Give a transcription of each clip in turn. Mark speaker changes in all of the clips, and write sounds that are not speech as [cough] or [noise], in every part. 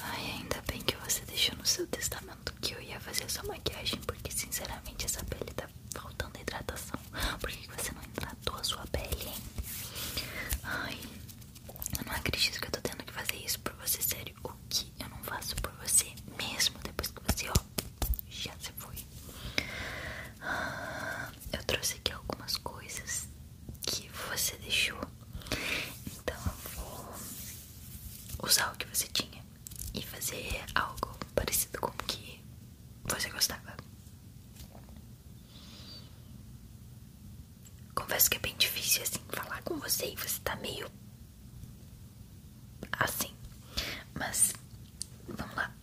Speaker 1: Ai, ainda bem que você deixou no seu testamento que eu ia fazer a sua maquiagem, porque sinceramente essa pele tá faltando hidratação. Por que você não hidratou a sua pele, hein? Ai, eu não acredito que eu tô tendo que fazer isso por você, sério. O que eu não faço por você mesmo depois que você, ó, já se foi. Ah, eu trouxe aqui algumas coisas que você deixou. Então eu vou usar o que você tinha e fazer algo parecido com o que você gostava. Confesso que é bem difícil assim falar com você e você tá meio assim. Mas vamos lá.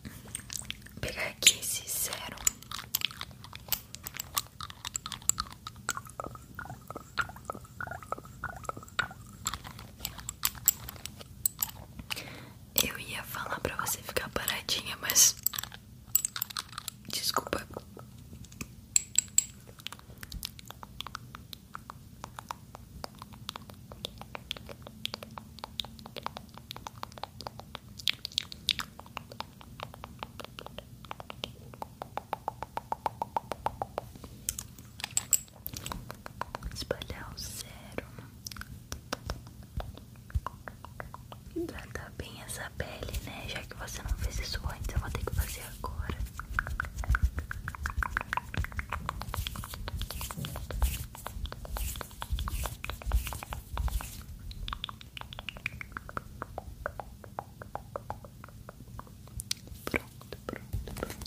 Speaker 1: pegar aqui esse zero. Eu ia falar pra você ficar paradinha, mas desculpa. Espalhar o sérum, hidratar bem essa pele, né? Já que você não fez isso antes, eu vou ter que fazer agora.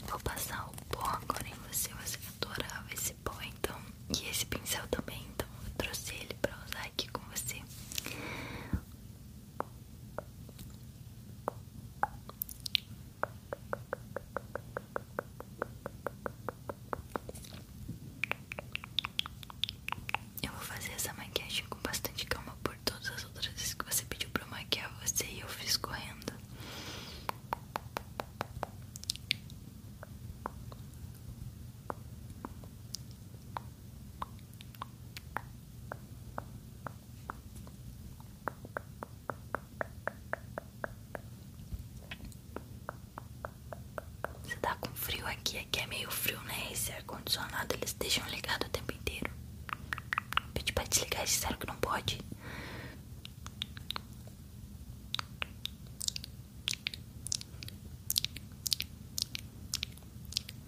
Speaker 1: Vou passar o pó agora em você. Você adorava esse pó, então. E esse pincel também, então eu trouxe ele pra usar aqui com você. Eu vou fazer essa maquiagem com bastante calma por todas as outras vezes que você pediu pra maquiar você e eu fiz correndo. Você tá com frio aqui, aqui é meio frio, né? Esse ar-condicionado eles deixam ligado o tempo inteiro. Pede pra desligar, disseram que não pode.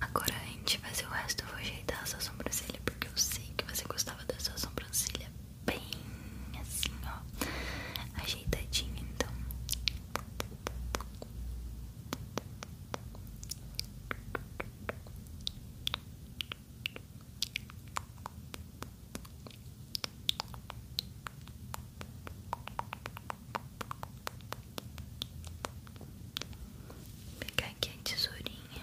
Speaker 1: Agora a gente fazer o resto, eu vou ajeitar a sua sobrancelha porque eu sei que você gostava da sua sobrancelha bem assim, ó, ajeitadinha, então. Vou pegar aqui a tesourinha.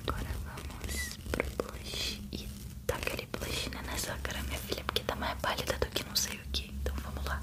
Speaker 1: Agora vamos pro blush. E tá aquele blush né, nessa cara, minha filha, porque tá mais pálida do que não sei o que. Então vamos lá.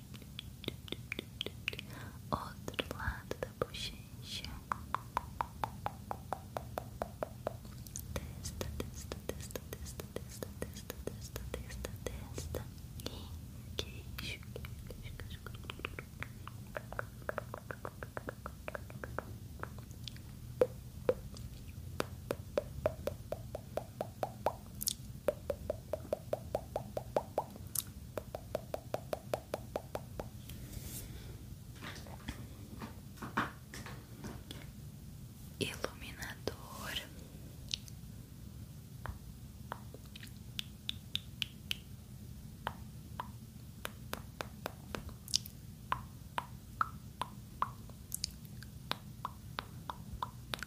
Speaker 1: outro lado da bochecha, testa, testa, testa, testa, testa, testa, testa, testa, testa, e queixo, queixo, queixo, queixo iluminador.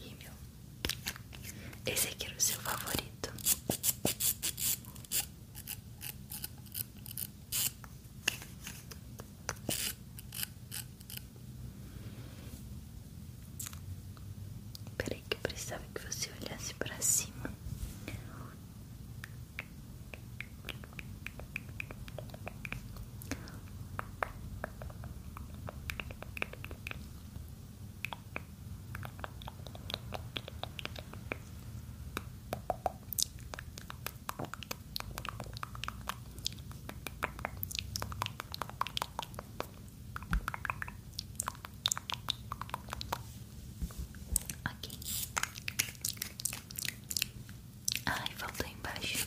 Speaker 1: rímel. Esse aqui era o seu favorito. Peraí que eu precisava que você olhasse pra cima. Ok. Ai, faltou embaixo.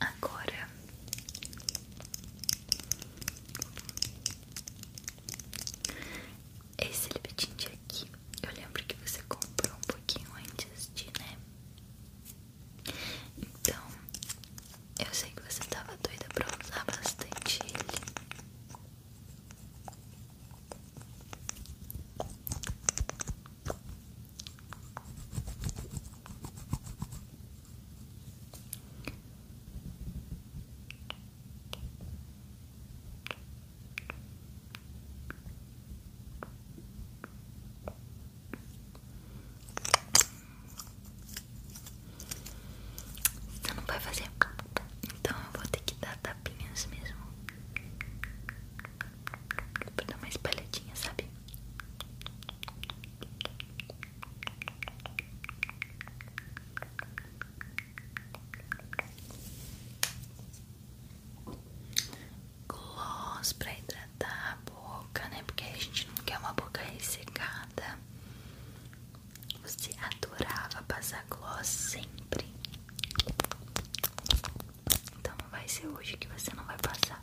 Speaker 1: Agora esse libetinte aqui, eu lembro que você comprou um pouquinho antes de, né? Então eu sei que você estava doida pra usar bastante ele. Você não vai fazer. Então eu vou ter que dar tapinhas mesmo. Pra dar uma espalhadinha, sabe? Gloss pra hidratar boca, né? Porque a gente não quer uma boca ressecada. Você adorava passar gloss sempre. Então não vai ser hoje que você não vai passar.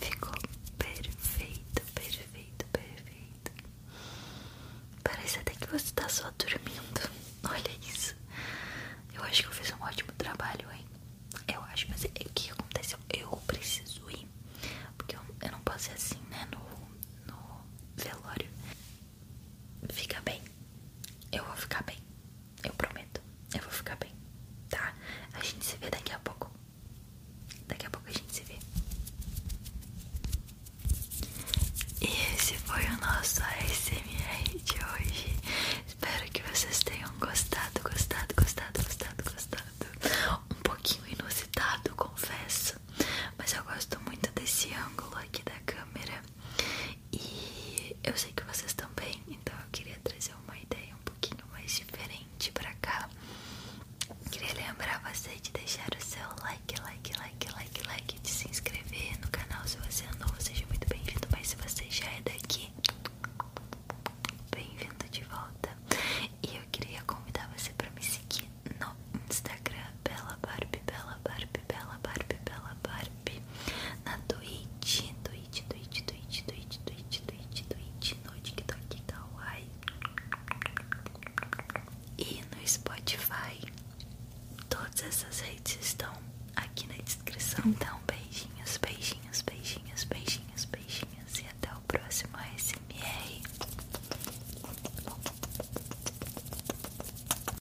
Speaker 1: Ficou perfeito, perfeito, perfeito. Parece até que você tá só dormindo. [laughs] Olha isso. Eu acho que eu fiz um ótimo trabalho, hein? Eu acho, mas o é que aconteceu? Eu preciso ir. Porque eu, não posso ir assim, né? No, no velório. Fica bem. Eu vou ficar bem. Eu prometo. Eu vou ficar bem, tá? A gente se vê daqui a pouco. Daqui a pouco a gente se vê. E esse foi o nosso ASMR de hoje. Espero que vocês tenham gostado, gostado, gostado, gostado, gostado. Um pouquinho inusitado, confesso. Mas eu gosto muito desse ângulo aqui da câmera. E eu sei que vocês também, então eu queria trazer uma ideia um pouquinho mais diferente pra cá. Queria lembrar você de deixar o seu like, like, like, like, like, de se inscrever no canal. Se você é novo, seja muito bem-vindo. Mas se você já é daqui, bem-vindo de volta. E eu queria convidar você pra me seguir no Instagram, Bela Barbie, Bela Barbie, Bela Barbie, Bela Barbie na Twitch, Twitch, Twitch, Twitch, Twitch, Twitch, Twitch, Twitch, no TikTok Kawaii e no Spotify. Todas essas redes estão aqui na descrição. Então, beijinhos, beijinhos, beijinhos, beijinhos, beijinhos e até o próximo ASMR.